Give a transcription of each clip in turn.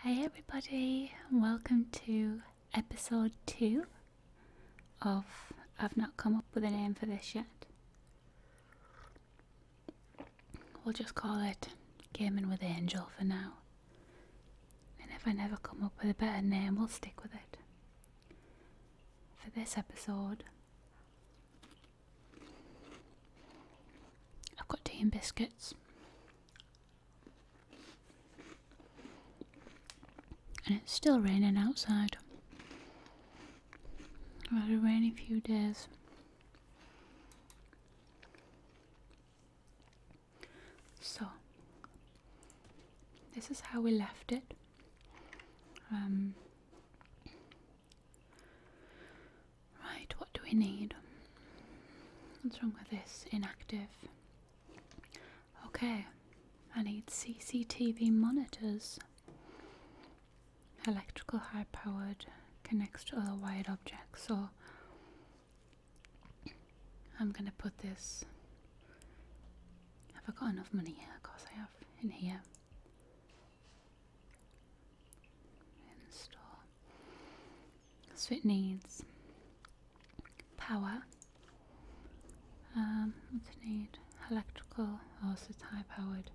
Hey everybody, welcome to episode 2 of I've not come up with a name for this yet. We'll just call it Gaming with Angel for now. And if I never come up with a better name, we'll stick with it. For this episode, I've got tea and biscuits. And it's still raining outside. I've had a few days. So, this is how we left it. Um, right, what do we need? What's wrong with this? Inactive. Okay, I need CCTV monitors. Electrical high powered connects to other wired objects. So I'm going to put this. Have I got enough money here? Of course I have. In here. Install. So it needs power. Um, what does it need? Electrical. Oh, also high powered.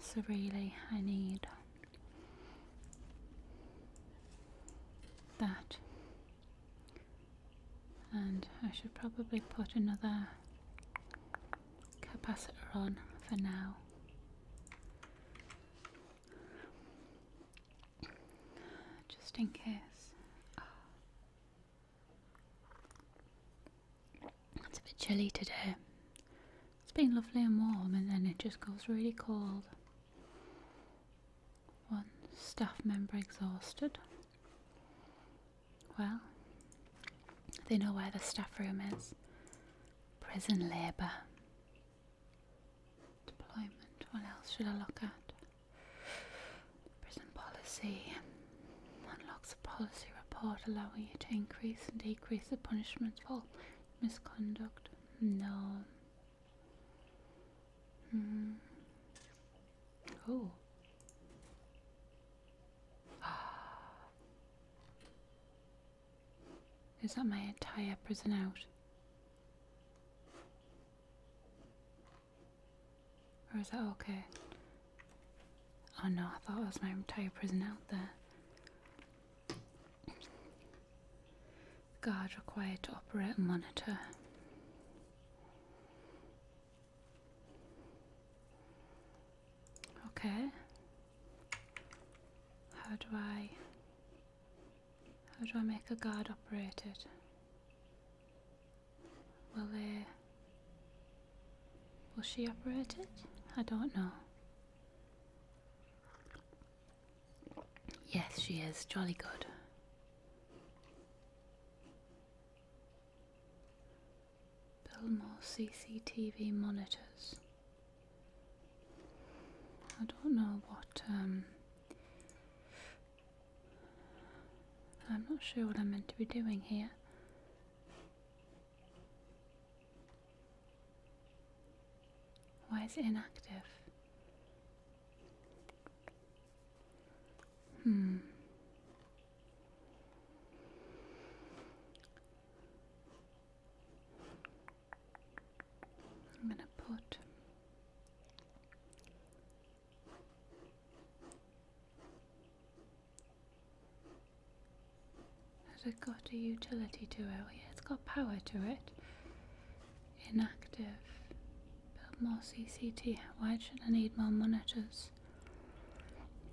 So really, I need that. And I should probably put another capacitor on for now just in case. Ah. It's a bit chilly today. It's been lovely and warm, and then it just goes really cold. One staff member exhausted. Well, they know where the staff room is. Prison labour. Deployment, what else should I look at? Prison policy unlocks a policy report allowing you to increase and decrease the punishment for misconduct. No. Mm. Oh. Is that my entire prison out? Or is that okay? Oh no, I thought it was my entire prison out there. Guard required to operate a monitor. Okay. How do I how do I make a guard operate it? Will they. Uh, Will she operate it? I don't know. Yes, she is. Jolly good. Build more CCTV monitors. I don't know what, um, I'm not sure what I'm meant to be doing here. Why is it inactive? Hmm. I'm going to put has it got a utility to it? Oh yeah, it's got power to it. Inactive. Build more CCT. Why should I need more monitors?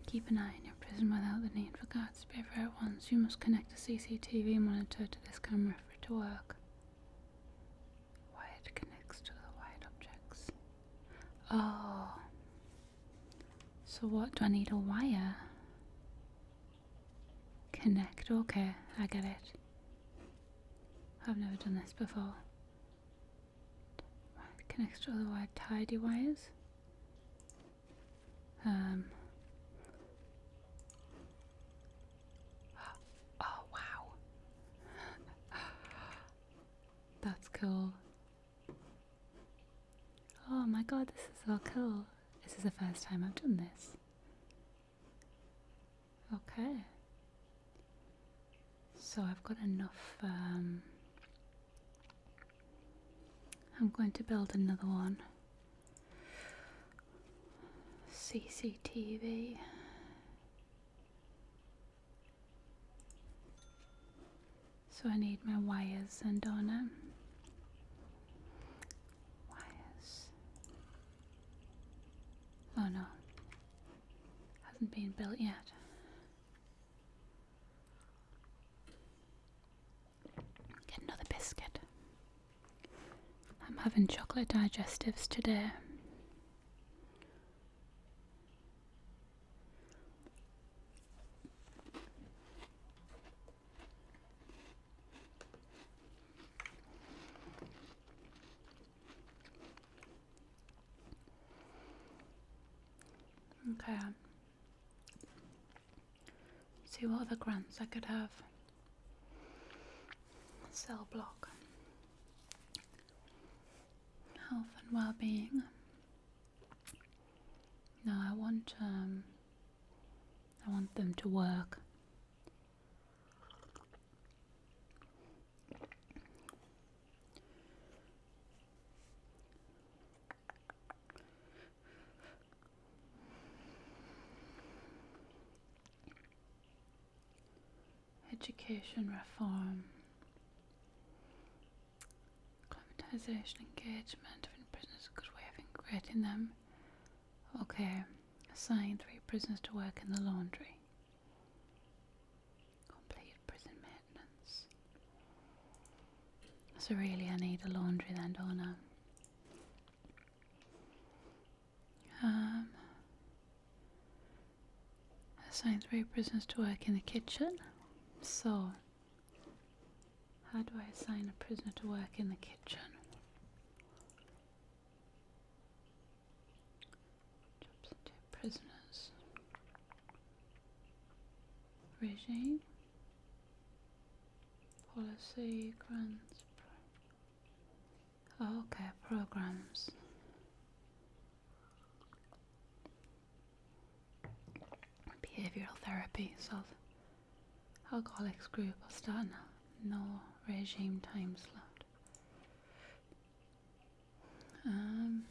Keep an eye on your prison without the need for guards be everywhere at once. You must connect a CCTV monitor to this camera for to work. Why connects to the white objects. Oh. So what do I need a wire? Connect, okay, I get it. I've never done this before. It connects to the wire tidy wires. Um Oh, wow. That's cool. Oh my god, this is so cool. This is the first time I've done this. Okay. So I've got enough. Um, I'm going to build another one. CCTV. So I need my wires and on Wires. Oh no. Hasn't been built yet. Get another biscuit. I'm having chocolate digestives today. Okay. See what other grants I could have cell block, health and well-being. No, I want um, I want them to work. Education reform, climatisation, engagement of prisoners, good way of integrating them. Okay, assign three prisoners to work in the laundry. Complete prison maintenance. So, really, I need a laundry then, do um, assigned three prisoners to work in the kitchen. So, how do I assign a prisoner to work in the kitchen? Jobs prisoners. Regime. Policy grants. Okay, programs. Behavioral therapy, so alcoholics group Astana, no regime time slot. Um,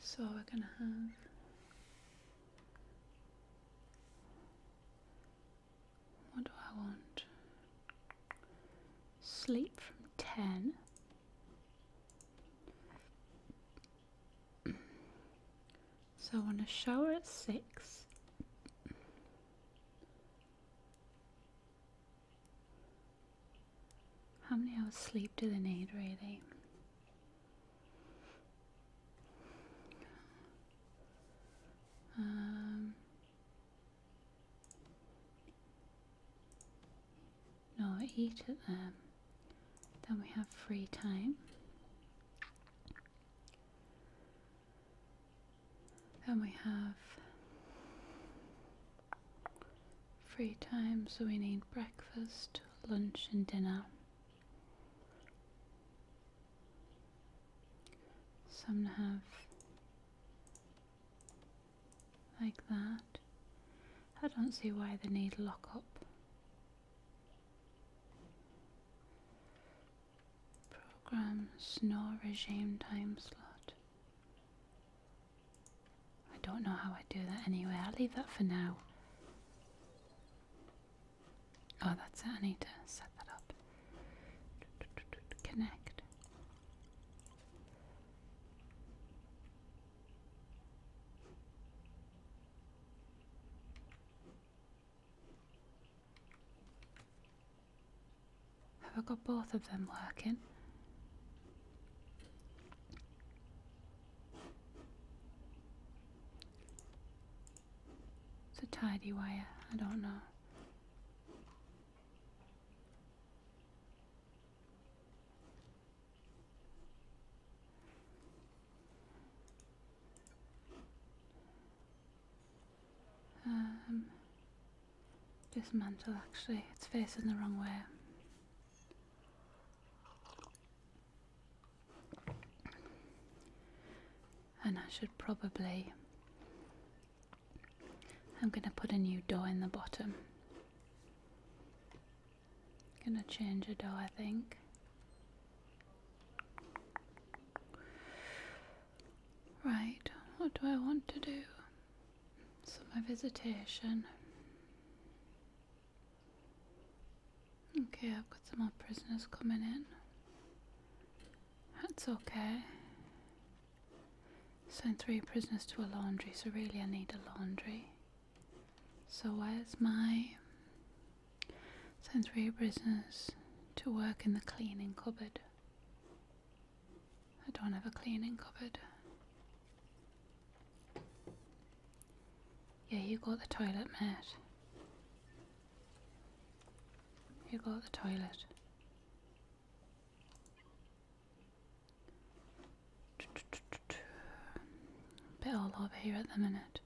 so we're gonna have what do I want? Sleep from 10. so I want to shower at 6. How many hours sleep do they need, really? Um, no, eat at them. Then we have free time. Then we have free time, so we need breakfast, lunch, and dinner. Some have like that. I don't see why they need lock up. nor regime time slot. I don't know how I do that anyway. I'll leave that for now. Oh, that's it. I need to set that up. Connect. Have I got both of them working? It's a tidy wire, I don't know dismantle um, actually, it's facing the wrong way. And I should probably, I'm going to put a new door in the bottom. Gonna change a door, I think. Right, what do I want to do? So my visitation. Okay, I've got some more prisoners coming in. That's okay. Send three prisoners to a laundry, so really I need a laundry. So where's my... Sent three prisoners to work in the cleaning cupboard. I don't have a cleaning cupboard. Yeah, you got the toilet, mate. You got the toilet. Bit all over here at the minute.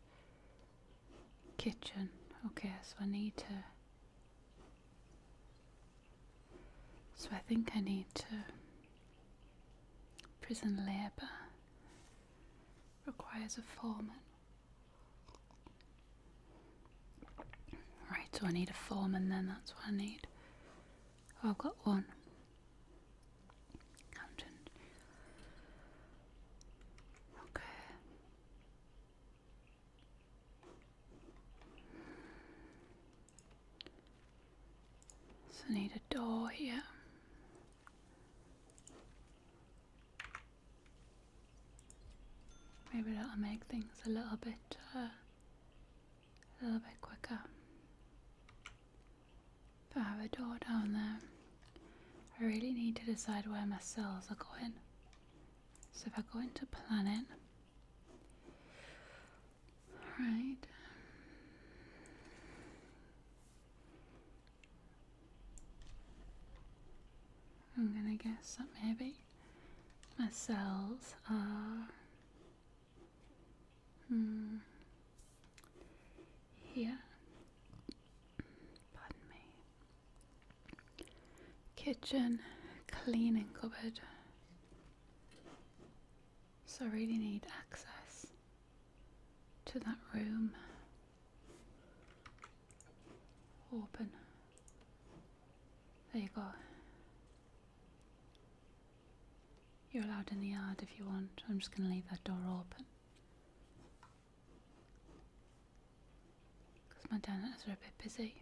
Kitchen. Okay, so I need to so I think I need to. Prison labor requires a foreman. Right, so I need a foreman then, that's what I need. Oh, I've got one. Accountant. Okay. So I need a door here. Maybe that'll make things a little bit, uh, a little bit quicker. But I have a door down there. I really need to decide where my cells are going. So if I go into planning, all right. I'm gonna guess that maybe my cells are hmm, here. Pardon me. Kitchen, cleaning cupboard, so I really need access to that room. Open. There you go. You're allowed in the yard if you want. I'm just going to leave that door open. Because my dentists are a bit busy.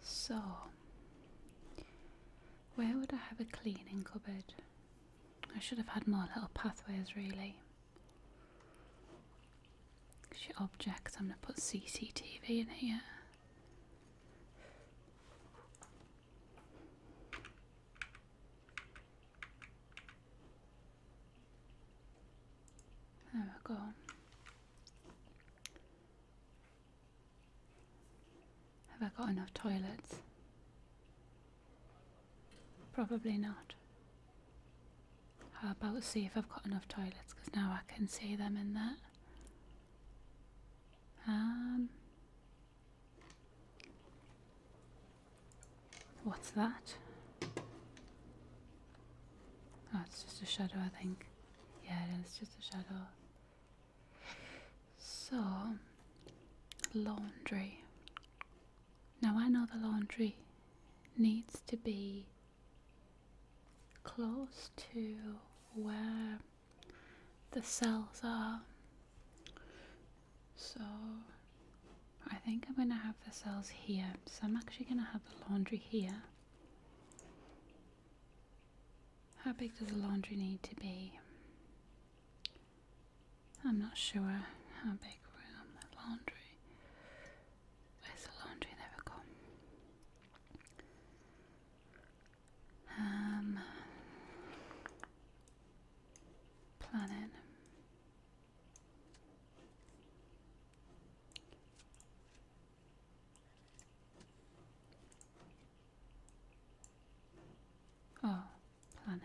So, where would I have a cleaning cupboard? I should have had more little pathways, really. objects, I'm gonna put CCTV in here. There we go. Have I got enough toilets? Probably not. How about see if I've got enough toilets because now I can see them in there. Um, What's that? Oh, it's just a shadow, I think. Yeah, it is just a shadow. So, laundry. Now, I know the laundry needs to be close to where the cells are. So, I think I'm going to have the cells here. So I'm actually going to have the laundry here. How big does the laundry need to be? I'm not sure how big room the laundry. Where's the laundry? There we um, planning. Oh, planet.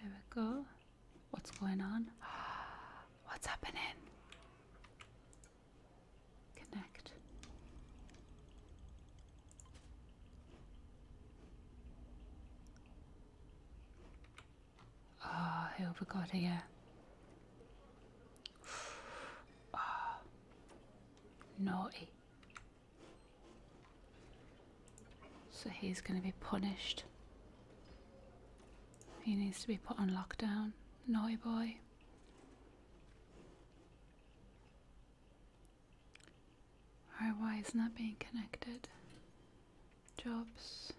There we go. What's going on? What's happening? Connect. Ah, oh, who have we got here? Ah, naughty. So he's going to be punished. He needs to be put on lockdown. Naughty boy. RY is not being connected. Jobs.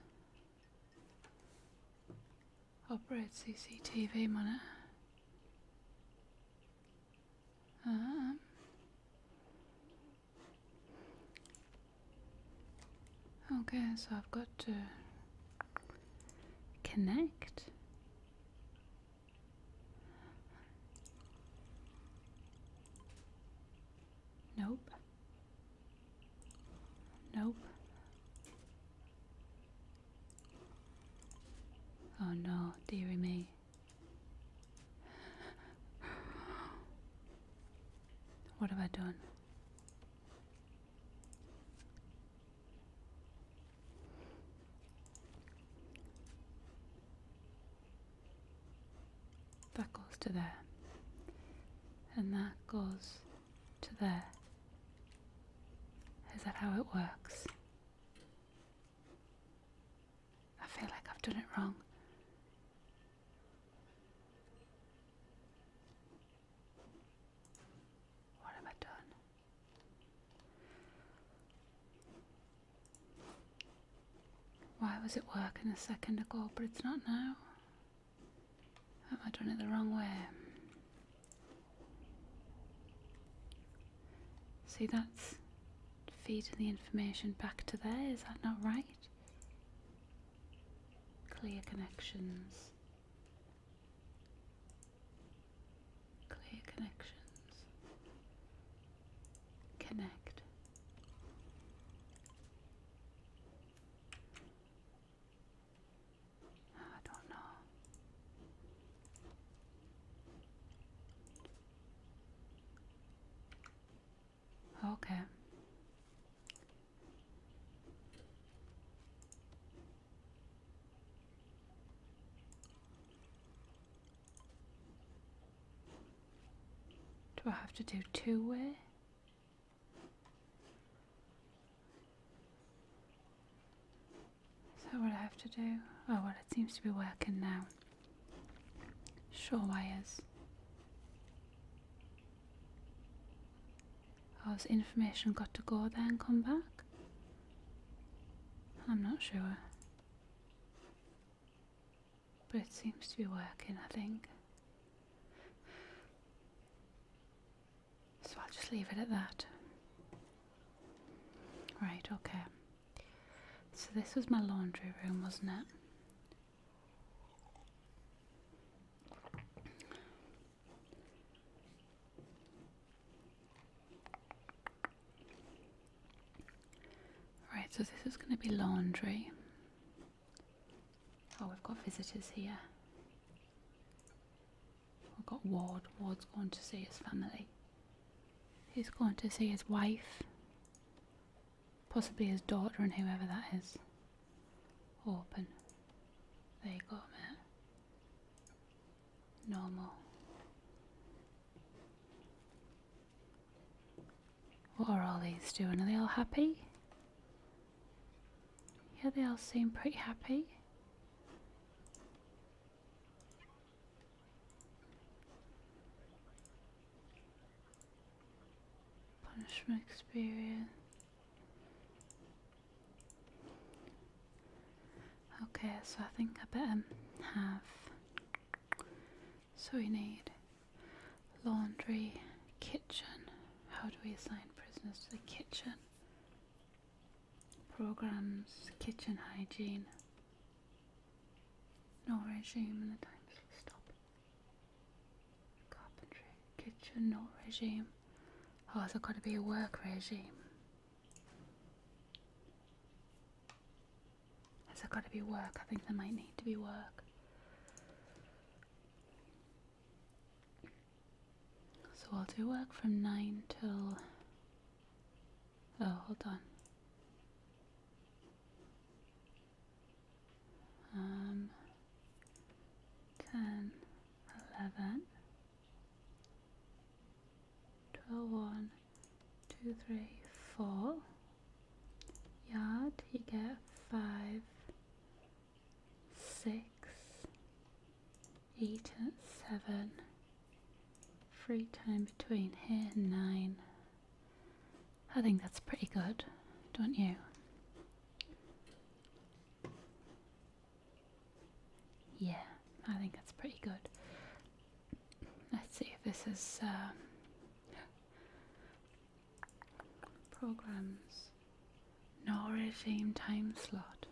Operate CCTV monitor. Um. Okay, so I've got to connect. Nope. Nope. Oh no, dearie me. What have I done? That goes to there. And that goes to there. Is that how it works? I feel like I've done it wrong. What have I done? Why was it working a second ago, but it's not now? Have I done it the wrong way? See, that's feeding the information back to there, is that not right? Clear connections. Clear connections. Connect. I don't know. Okay. Do I have to do two-way? Is that what I have to do? Oh well, it seems to be working now. Shore wires. Oh, has information got to go there and come back? I'm not sure. But it seems to be working, I think. So I'll just leave it at that. Right, okay. So this was my laundry room, wasn't it? Right, so this is going to be laundry. Oh, we've got visitors here. We've got Ward. Ward's going to see his family. He's going to see his wife, possibly his daughter, and whoever that is. Open. There you go, mate. Normal. What are all these doing? Are they all happy? Yeah, they all seem pretty happy. Punishment experience. Okay, so I think I better have so we need laundry, kitchen. How do we assign prisoners to the kitchen? Programs, kitchen hygiene. No regime and the times slow stop. Carpentry, kitchen, no regime. Oh, has got to be a work regime? Has there got to be work? I think there might need to be work. So I'll do work from 9 till. Oh, hold on. Um, 10, yard you get five six eight and seven free time between here and nine I think that's pretty good don't you yeah I think that's pretty good let's see if this is uh, Programs. No regime time slot.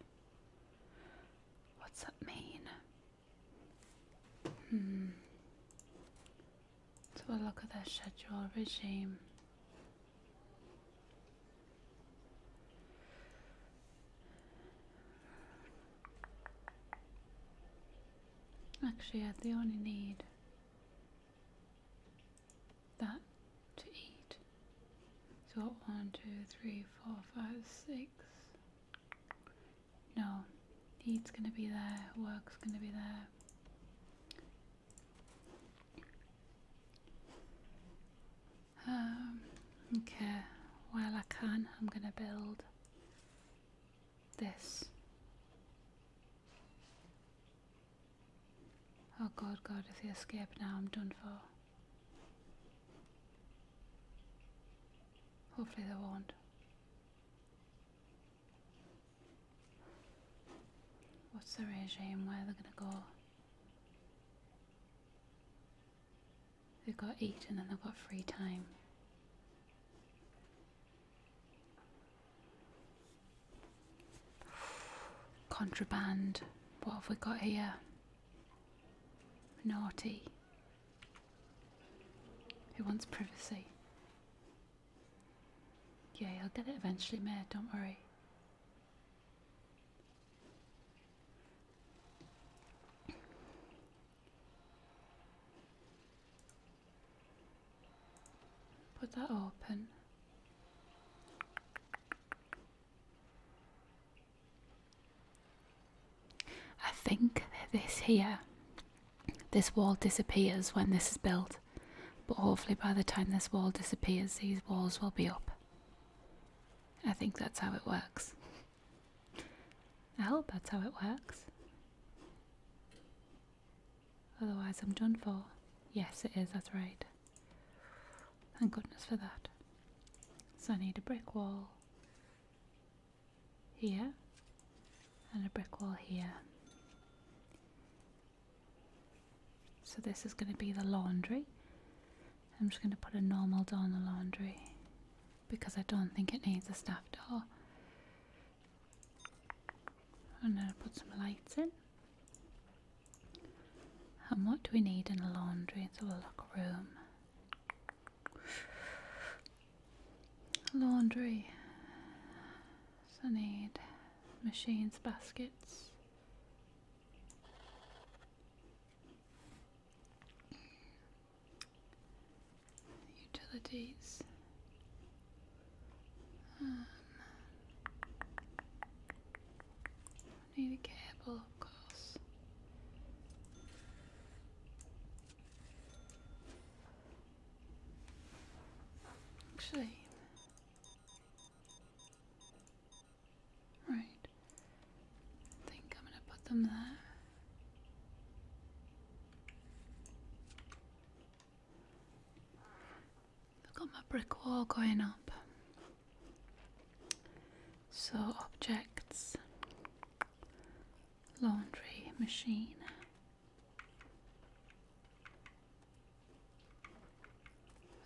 What's that mean? Hmm. let a look at their schedule regime. Actually, yeah, they only need that to eat. So one, two, three, four, five, six. No, eat's gonna be there, work's gonna be there. Um, okay, while I can, I'm gonna build this. Oh god, god, if they escape now, I'm done for. Hopefully they won't. What's the regime? Where they're gonna go? They've got eat and then they've got free time. Contraband. What have we got here? Naughty. Who wants privacy? Yeah, I'll get it eventually, Mayor, don't worry. Put that open. I think that this here, this wall disappears when this is built, but hopefully by the time this wall disappears, these walls will be up. I think that's how it works. I hope that's how it works. Otherwise, I'm done for. Yes, it is, that's right. Thank goodness for that. So, I need a brick wall here and a brick wall here. So, this is going to be the laundry. I'm just going to put a normal door on the laundry because I don't think it needs a staff door. I'm going to put some lights in. And what do we need in the laundry? It's a locker room. Laundry. So I need machines, baskets. Utilities. Um, need a cable, of course. Actually, right. I think I'm gonna put them there. I've got my brick wall going up. So, objects, laundry machine.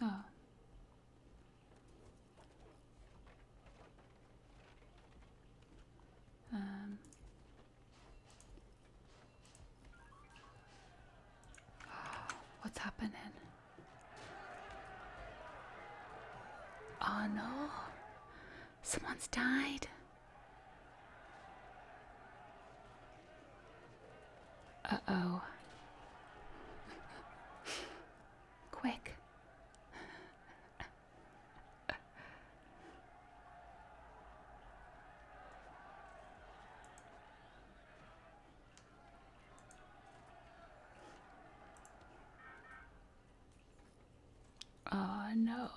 Oh. Um, What's happening? Oh no. Someone's died. Uh oh. Quick. Oh no,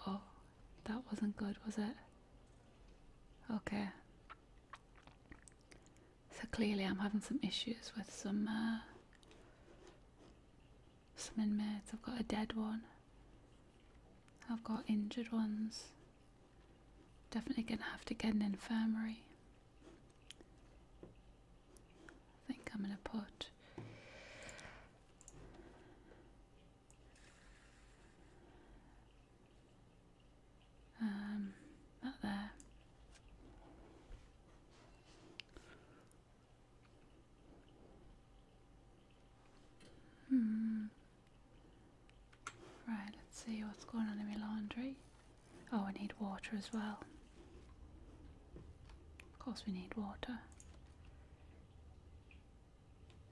that wasn't good, was it? Okay. So clearly, I'm having some issues with some uh, some inmates. I've got a dead one. I've got injured ones. Definitely going to have to get an infirmary. I think I'm going to put. Um, that there. Hmm. Right, let's see what's going on in my laundry. Oh, I need water as well. Of course we need water.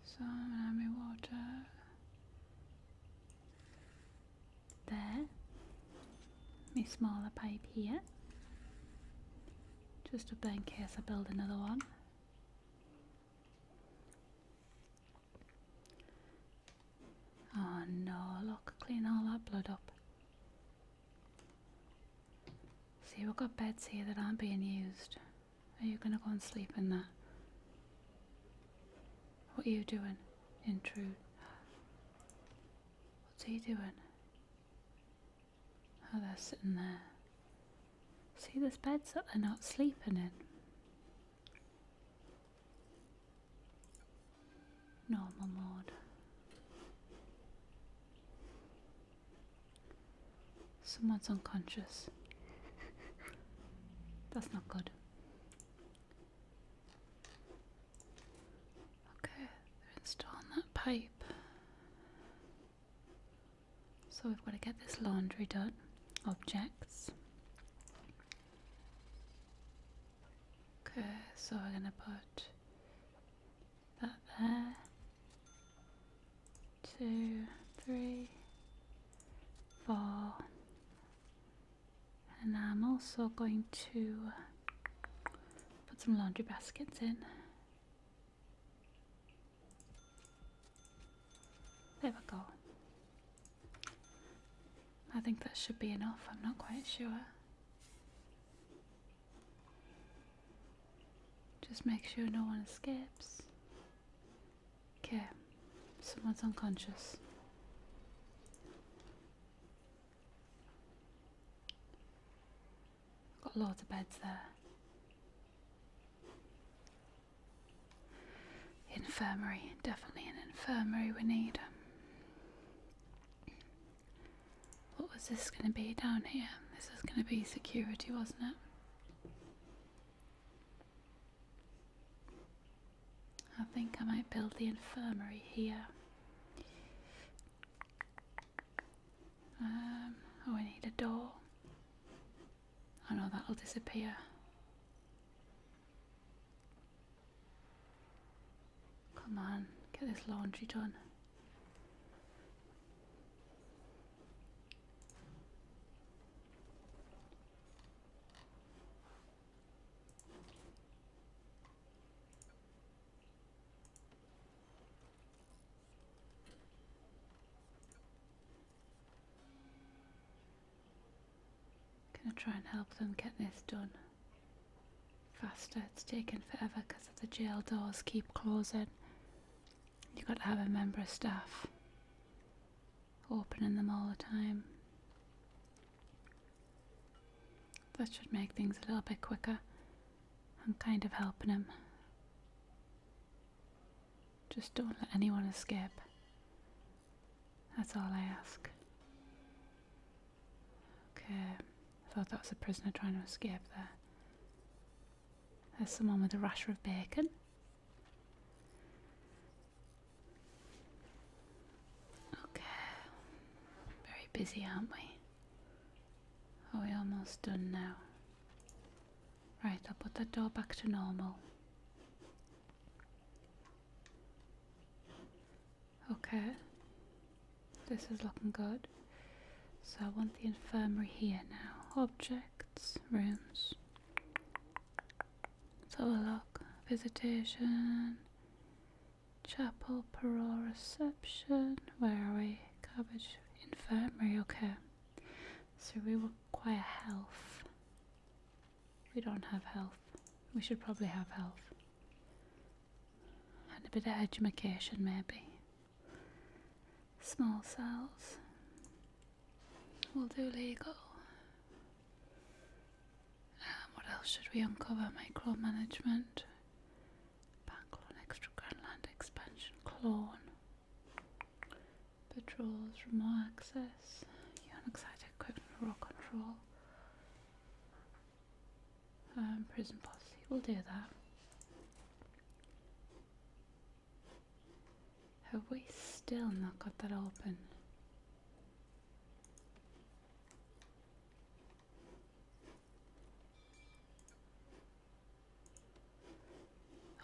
So I'm gonna have my water there. My smaller pipe here. Just up there in case I build another one. Oh no, look, clean all that blood up. See, we've got beds here that aren't being used. Are you gonna go and sleep in there? What are you doing? Intrude. What's he doing? Oh, they're sitting there. See, there's beds that they're not sleeping in. No, my Someone's unconscious. That's not good. Okay, they're installing that pipe. So we've got to get this laundry done. Objects. Okay, so we're going to put that there. Two, three, four. And I'm also going to put some laundry baskets in. There we go. I think that should be enough, I'm not quite sure. Just make sure no one escapes. Okay, someone's unconscious. Got loads of beds there. Infirmary, definitely an infirmary we need. Um, what was this going to be down here? This was going to be security, wasn't it? I think I might build the infirmary here. Um, oh, I need a door. I know that'll disappear. Come on, get this laundry done. Gonna try and help them get this done faster. It's taken forever because the jail doors keep closing. You've got to have a member of staff opening them all the time. That should make things a little bit quicker. I'm kind of helping them. Just don't let anyone escape. That's all I ask. Okay, I thought that was a prisoner trying to escape there. There's someone with a rasher of bacon. Okay, very busy, aren't we? Are we almost done now? Right, I'll put that door back to normal. Okay, this is looking good. So I want the infirmary here now. Objects, rooms. So us have a look. Visitation, chapel, parole, reception. Where are we? Cabbage, infirmary, okay. So we require health. We don't have health. We should probably have health. And a bit of edumacation, maybe. Small cells. We'll do legal. Um, what else should we uncover? Micromanagement. Bank loan, extra grand land expansion, clone. Patrols, remote access, unexcited equipment, raw control, um, prison policy. We'll do that. Have we still not got that open?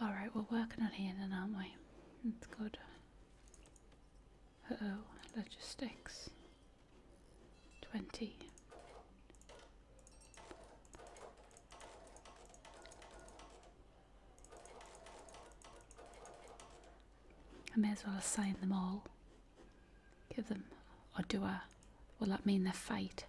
Alright, we're working on here aren't we? That's good. Uh oh, logistics. 20. I may as well assign them all. Give them, or do I? Will that mean they're fate?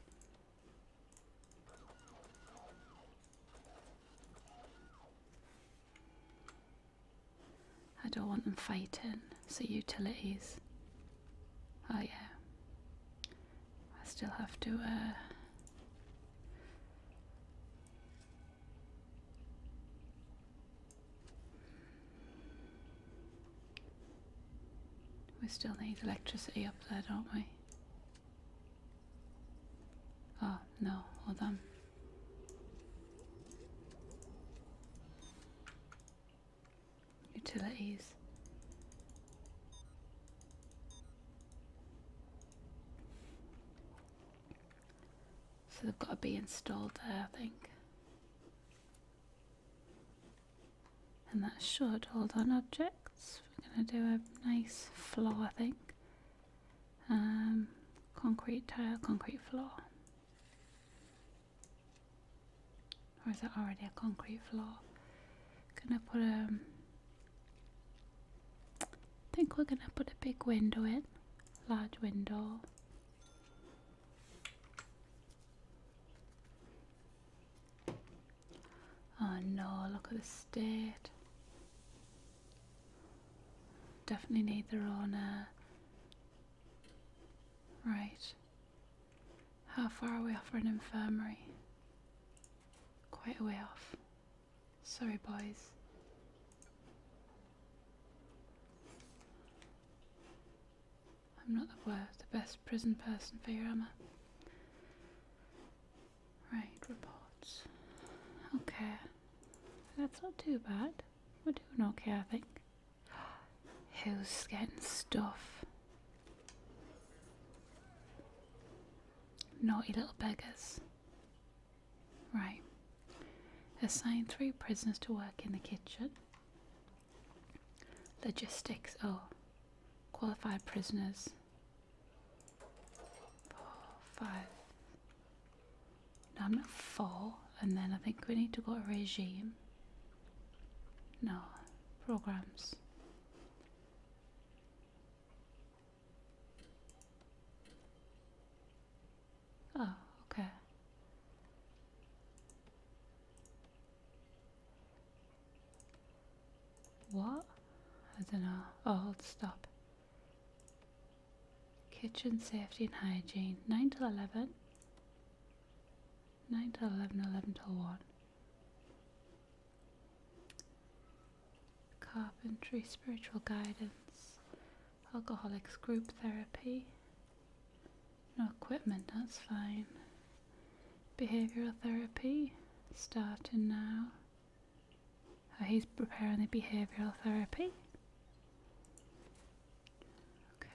I don't want them fighting, so utilities. Oh yeah. I still have to uh, We still need electricity up there, don't we? Ah no, hold on. Utilities. So they've got to be installed there, I think. And that should hold on objects. We're going to do a nice flow, I think. Um, concrete tile, concrete floor. Or is that already a concrete floor? Gonna put a. I think we're gonna put a big window in, large window. Oh no, look at the state. Definitely need the own. Uh... Right. How far are we off for an infirmary? Quite a way off. Sorry, boys. I'm not the worst, the best prison person for your Emma. Right, reports. Okay. That's not too bad. We're doing okay, I think. Who's getting stuff? Naughty little beggars. Right. Assign three prisoners to work in the kitchen. Logistics, oh. Qualified prisoners four, five. No, I'm not four. And then I think we need to go to regime. No, programs. Oh, okay. What? I don't know. Oh, let stop. Kitchen safety and hygiene 9 till 11, 9 till 11, 11 till 1. Carpentry, spiritual guidance, alcoholics, group therapy. No equipment, that's fine. Behavioral therapy, starting now he's preparing the behavioural therapy.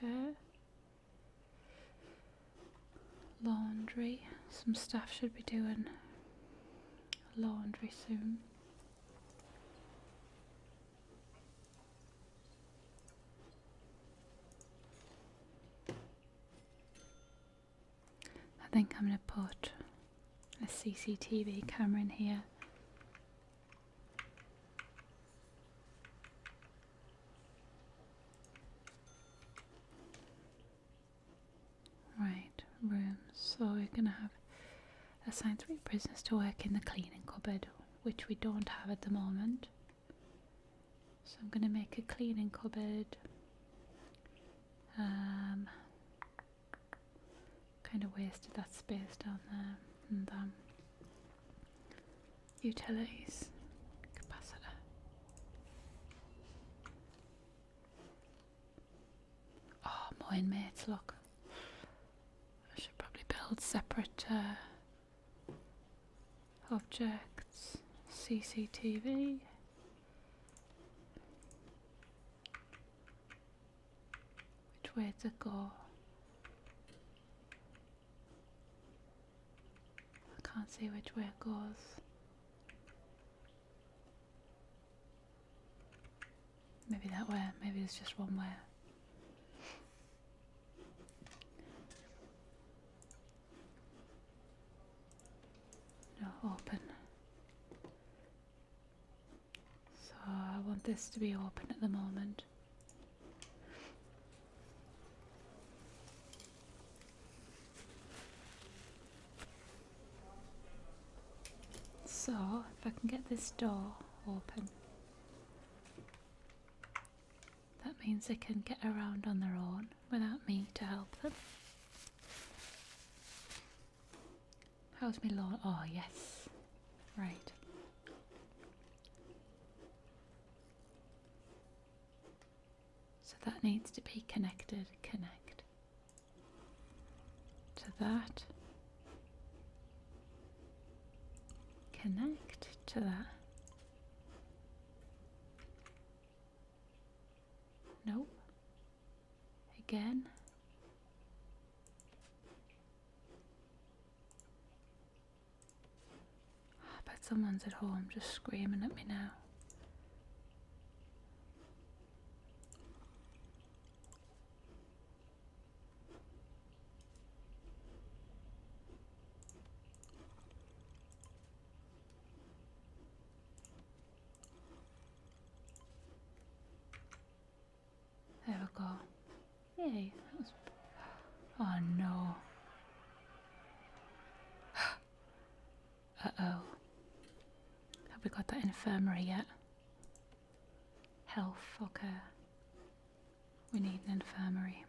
Okay. Laundry. Some staff should be doing laundry soon. I think I'm going to put a CCTV camera in here. Right, room. So we're gonna have assigned three prisoners to work in the cleaning cupboard, which we don't have at the moment. So I'm gonna make a cleaning cupboard. Um, kind of wasted that space down there and um, utilities capacitor oh more inmates look I should probably build separate uh, objects CCTV which way to go? I can't see which way it goes. Maybe that way, maybe it's just one way. No, open. So I want this to be open at the moment. So if I can get this door open, that means they can get around on their own without me to help them. How's my lord? Oh, yes. Right. So that needs to be connected. Connect. To that. Connect to that. Nope again. I bet someone's at home just screaming at me now. There we go. Yay. Oh no. Uh-oh. Have we got that infirmary yet? Health, okay. We need an infirmary.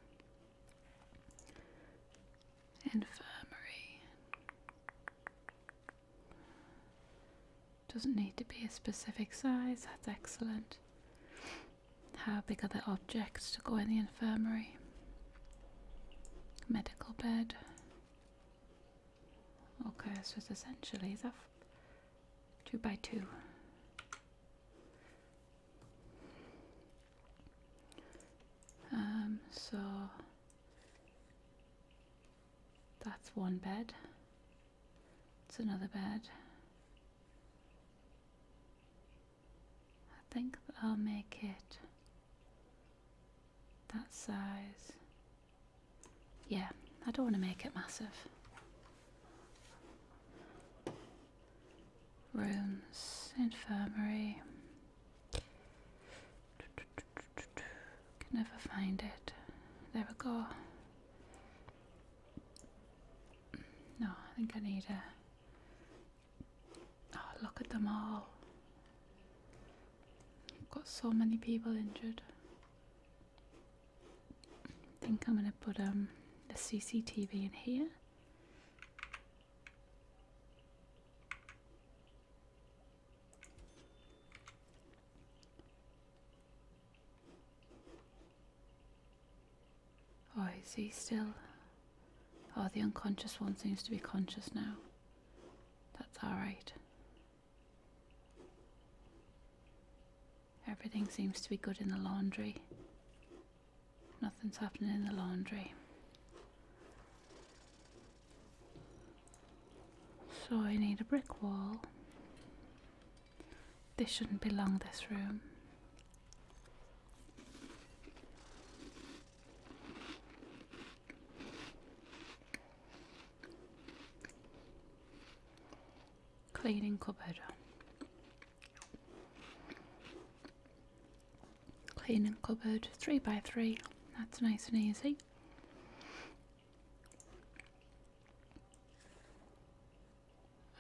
Infirmary. Doesn't need to be a specific size, that's excellent. How big are the objects to go in the infirmary? Medical bed. Okay, so it's essentially two by two. Um, so that's one bed. It's another bed. I think I'll make it that size. Yeah, I don't want to make it massive. Rooms, infirmary. Can never find it. There we go. No, I think I need a. Oh, look at them all. I've got so many people injured. I think I'm gonna put um the CCTV in here. Oh, is he still? Oh, the unconscious one seems to be conscious now. That's alright. Everything seems to be good in the laundry. Nothing's happening in the laundry. So I need a brick wall. This shouldn't be long, this room. Cleaning cupboard. Cleaning cupboard, three by three. That's nice and easy.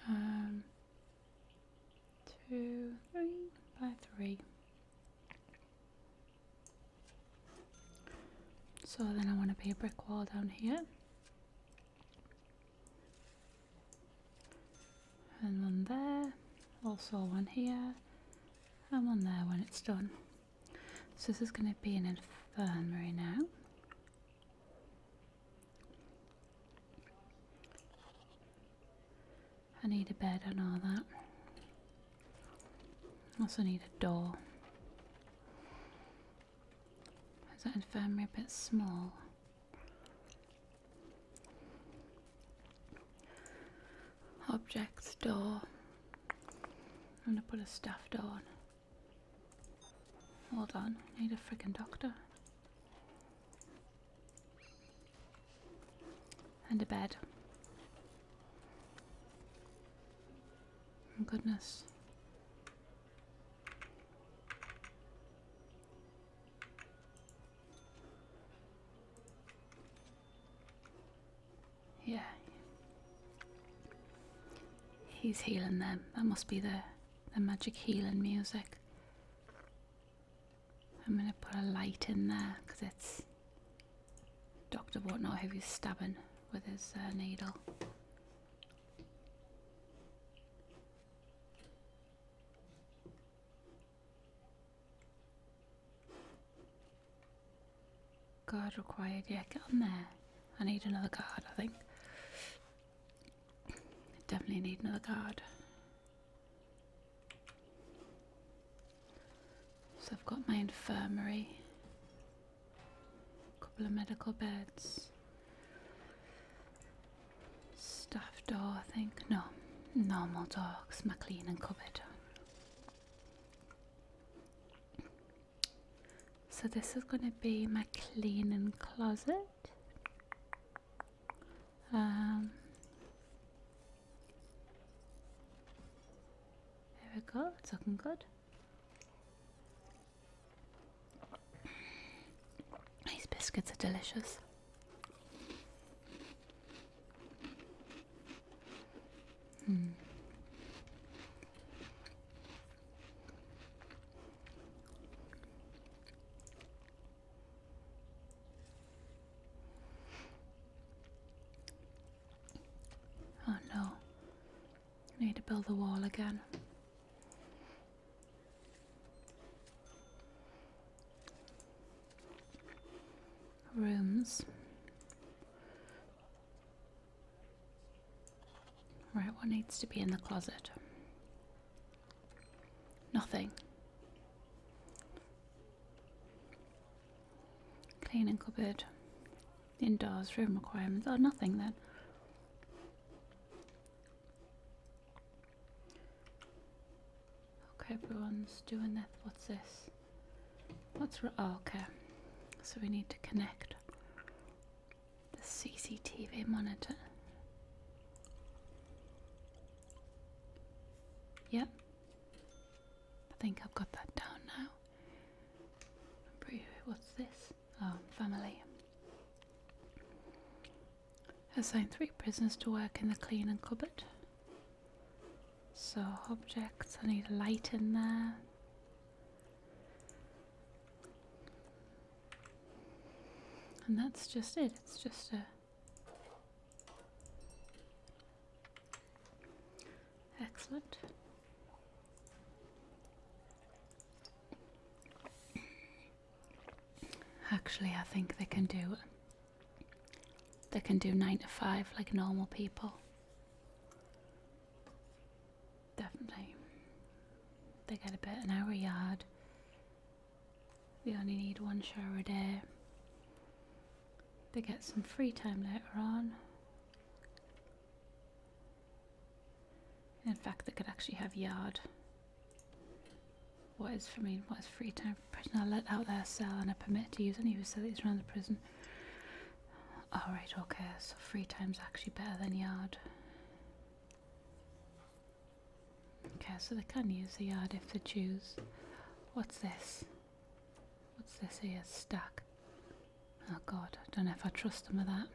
Um, two, three by three. So then I want to be a brick wall down here. And one there, also one here, and one there when it's done. So this is going to be an infirmary now. I need a bed and all that. I also need a door. Is that infirmary a bit small? Objects door. I'm gonna put a stuffed door Hold on, need a fricking doctor. And a bed. Oh, goodness. Yeah. He's healing them. That must be the, the magic healing music. I'm going to put a light in there because it's Dr. Whatnot who is stabbing with his uh, needle. Guard required. Yeah, get on there. I need another guard. I think. Definitely need another guard. So I've got my infirmary, a couple of medical beds, staff door, I think. No, normal door, because my cleaning cupboard. So this is going to be my cleaning closet. Um, there we go. It's looking good. These biscuits are delicious. Hmm. Oh no. need to build the wall again. Rooms. Right, what needs to be in the closet? Nothing. Cleaning cupboard. Indoors, room requirements. are oh, nothing then. Okay, everyone's doing that. What's this? What's. Oh, So we need to connect the CCTV monitor. Yep. I think I've got that down now. what's this? Oh, family. Assign three prisoners to work in the clean and cupboard. So objects, I need a light in there. And that's just it. It's just a excellent. Actually, I think they can do they can do 9 to 5 like normal people. Definitely. They get a bit an hour yard. We only need one shower a day. They get some free time later on. In fact, they could actually have yard. What is for me? What is free time for a prisoner let out their cell and a permit to use any facilities around the prison? Alright, okay, so three times actually better than yard. Okay, so they can use the yard if they choose. What's this? What's this here? Stack. Oh god, I don't know if I trust them with that.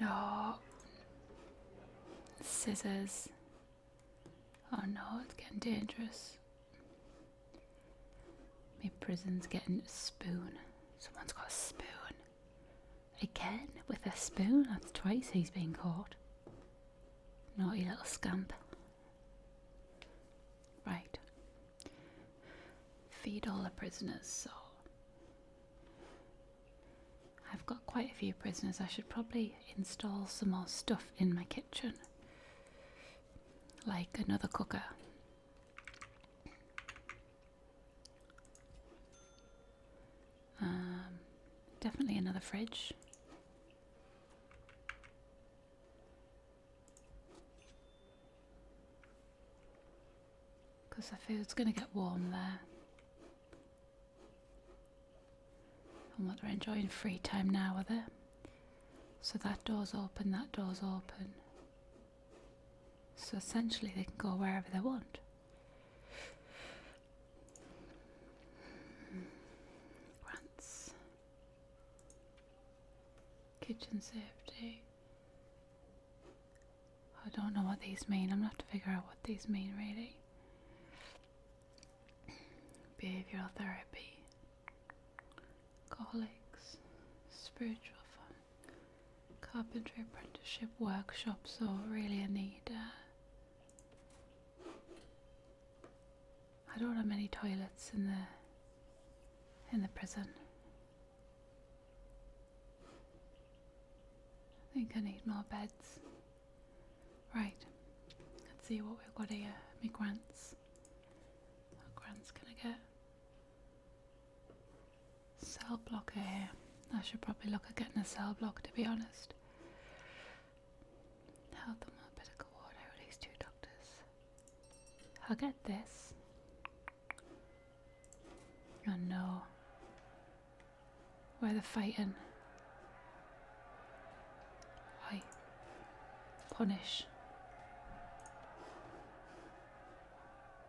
No. Scissors. Oh no, it's getting dangerous. My prison's getting a spoon. Someone's got a spoon. Again, with a spoon? That's twice he's been caught. Naughty little scamp. Right. Feed all the prisoners, so. I've got quite a few prisoners. I should probably install some more stuff in my kitchen. Like another cooker um, definitely another fridge. Because I feel it's going to get warm there. And what they're enjoying free time now, are there? So that door's open, that door's open. So essentially, they can go wherever they want. Grants. Kitchen safety. I don't know what these mean. I'm going to have to figure out what these mean really. Behavioral therapy. Alcoholics. Spiritual fun. Carpentry apprenticeship workshops are really a need. Uh, I don't have many toilets in the in the prison. I think I need more beds. Right. Let's see what we've got here. Me grants. What grants can I get? Cell blocker here. I should probably look at getting a cell block to be honest. Health on medical ward, I release two doctors. I'll get this. Oh no. Where they're fighting. I punish.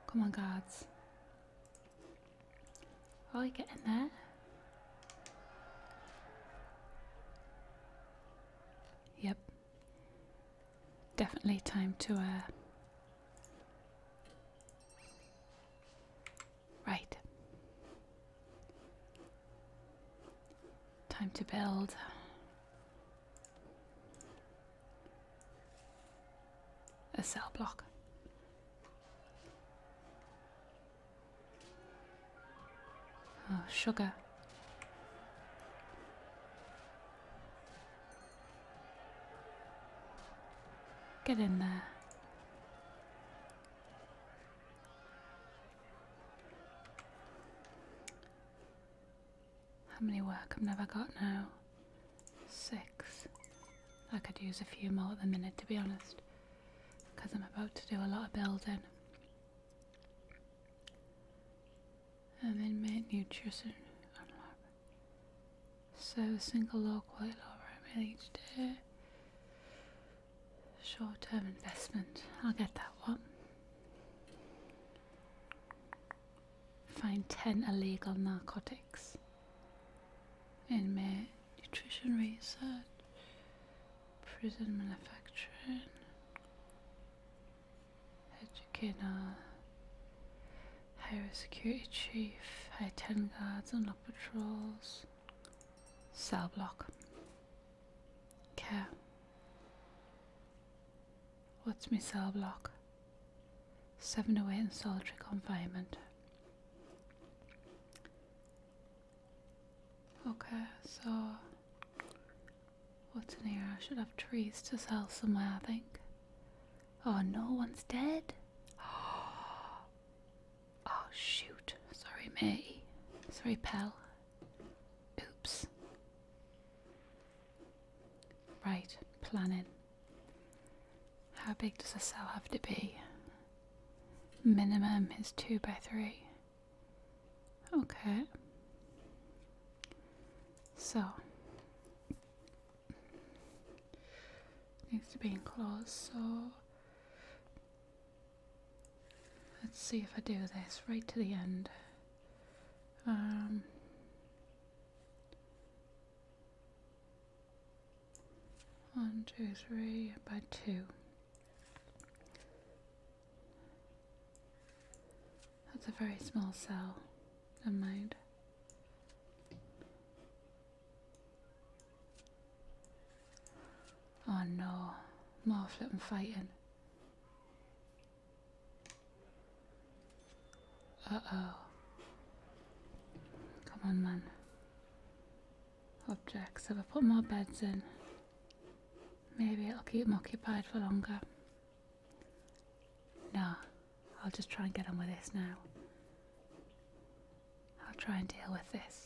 Come on, guards. Oh, we get in there. Yep. Definitely time to, uh... Right. Time to build. A cell block. Oh, sugar. Get in there. How many work i have never got now? Six. I could use a few more at the minute, to be honest, because I'm about to do a lot of building. And then make nutrition. So a single low quality low meal each day. Short term investment. I'll get that one. Find 10 illegal narcotics. In May, nutrition research, prison manufacturing, educator, highway security chief, high 10 guards and lock patrols, cell block, care. What's me cell block? Seven away oh in solitary confinement. Okay, so what's in here? I should have trees to sell somewhere, I think. Oh, no one's dead. Oh, shoot. Sorry, me. Sorry, pal. Oops. Right, planning. How big does a cell have to be? Minimum is 2 by 3. Okay. So, needs to be enclosed, so let's see if I do this right to the end. Um, one, two, three, by two. That's a very small cell, never mind. Oh no, more flipping fighting. Uh oh. Come on, man. Objects. If I put more beds in? Maybe it'll keep them occupied for longer. No. I'll just try and get on with this now. I'll try and deal with this.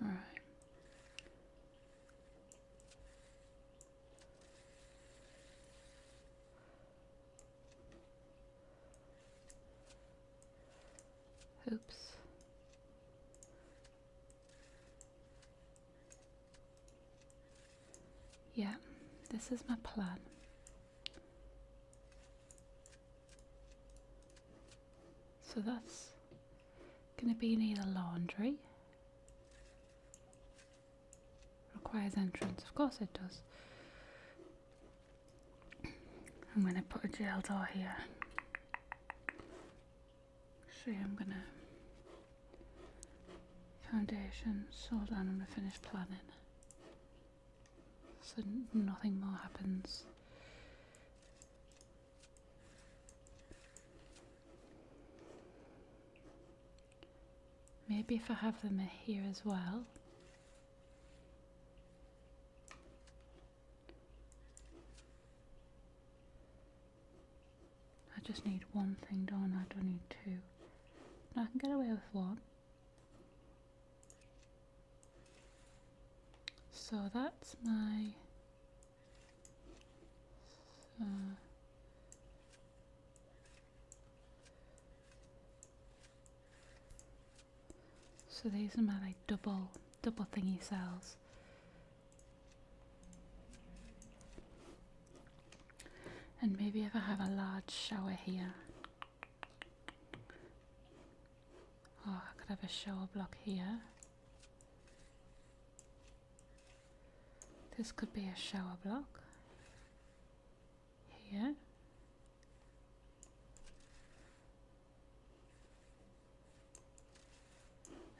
All right. Oops. Yeah, this is my plan. So that's going to be neither laundry. Requires entrance, of course it does. I'm going to put a jail door here. Actually, I'm gonna foundation, I'm gonna finish planning, So nothing more happens. Maybe if I have them here as well. I just need one thing done, I don't need two. I can get away with one. So that's my... Uh, so these are my like double double thingy cells. And maybe if I have a large shower here. Oh, I could have a shower block here. This could be a shower block. Here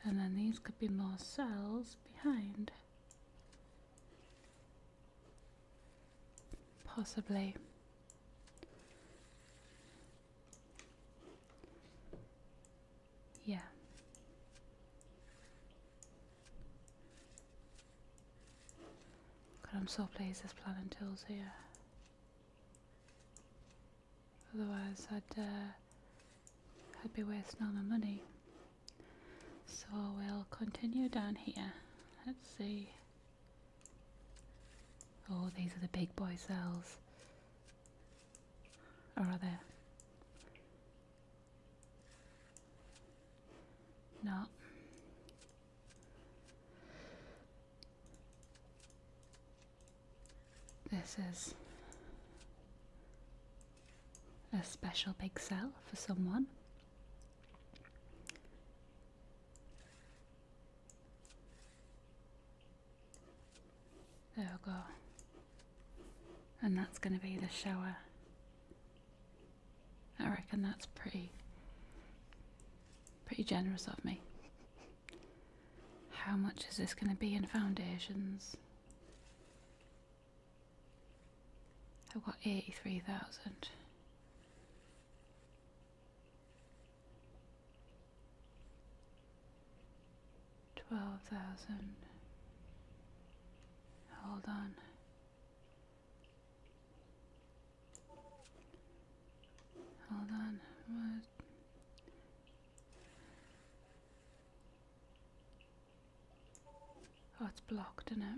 and then these could be more cells behind possibly yeah god i'm so pleased There's planning tool's here otherwise i'd uh, I'd be wasting all my money. So we'll continue down here. Let's see. Oh, these are the big boy cells. are they? No. This is a special big sell for someone. There we go. And that's going to be the shower. I reckon that's pretty, pretty generous of me. How much is this going to be in foundations? I've got 83,000. Twelve thousand. Hold on. Hold on. What? Oh, it's blocked, isn't it?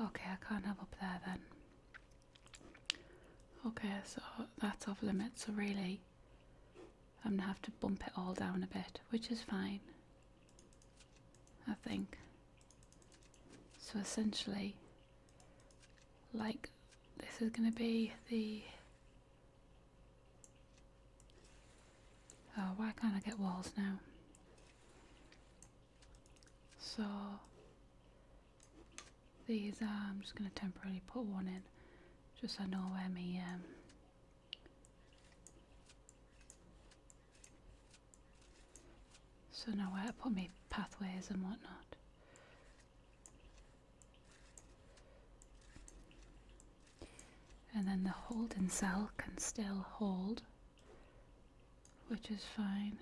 Okay, I can't have up there then. Okay, so that's off limit. so really I'm gonna have to bump it all down a bit, which is fine, I think. So essentially, like this is going to be the oh why can't I get walls now so these are, uh, I'm just going to temporarily put one in just so I know where my um, so now where I put my pathways and whatnot and then the holding cell can still hold, which is fine.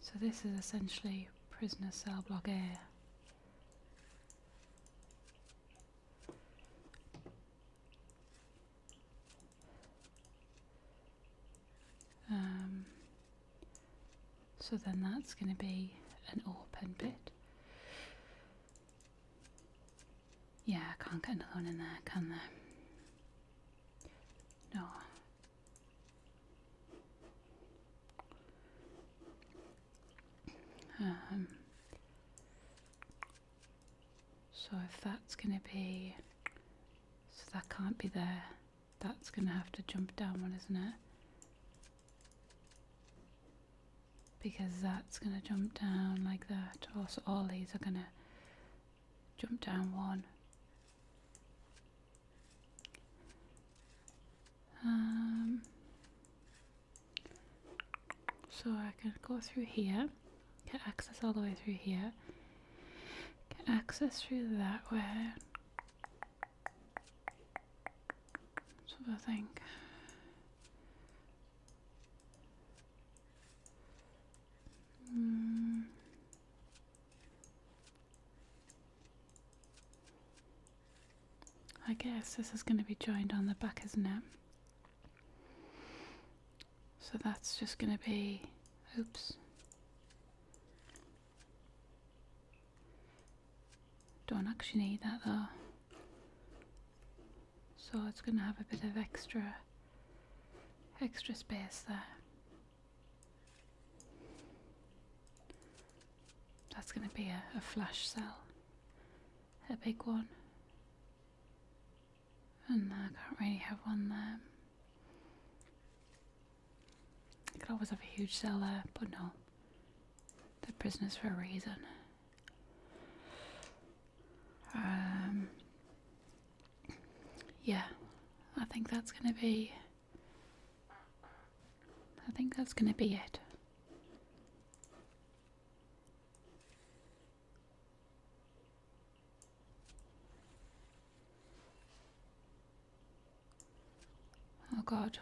So this is essentially prisoner cell block A. Um, so then that's going to be an open bit. Yeah, I can't get another one in there, can there? No. Um, so if that's going to be, so that can't be there. That's going to have to jump down one, isn't it? Because that's going to jump down like that. Also, all these are going to jump down one. Um, so I can go through here Get access all the way through here. Get access through that way. Sort of I think. Hmm. I guess this is going to be joined on the back, isn't it? So that's just going to be, oops. Don't actually need that though. So it's going to have a bit of extra, extra space there. That's going to be a, a flash cell, a big one. And I can't really have one there. I could always have a huge cell there, but no. They're prisoners for a reason. Um, yeah, I think that's gonna be. I think that's gonna be it. Oh God.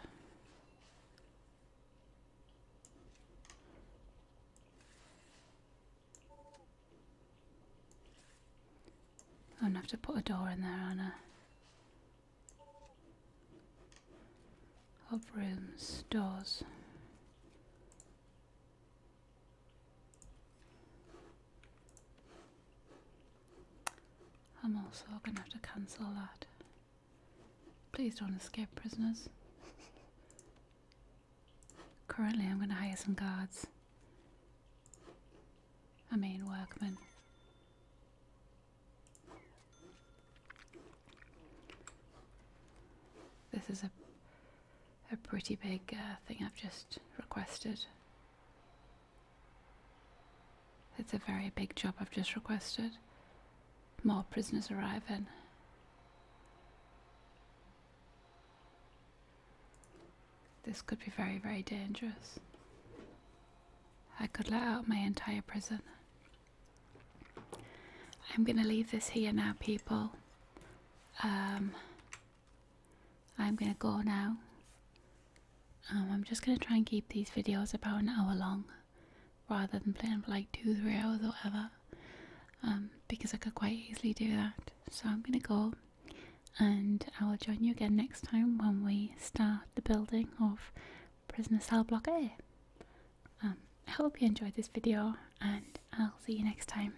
I'm gonna have to put a door in there, Anna. Of rooms, doors. I'm also gonna have to cancel that. Please don't escape, prisoners. Currently, I'm gonna hire some guards. I mean, workmen. This is a a pretty big uh, thing I've just requested. It's a very big job I've just requested. More prisoners arriving. This could be very, very dangerous. I could let out my entire prison. I'm going to leave this here now, people. Um, I'm gonna go now. Um, I'm just gonna try and keep these videos about an hour long rather than playing for like two, three hours or whatever. Um, because I could quite easily do that. So I'm gonna go and I will join you again next time when we start the building of prisoner cell block A. Um, I hope you enjoyed this video and I'll see you next time.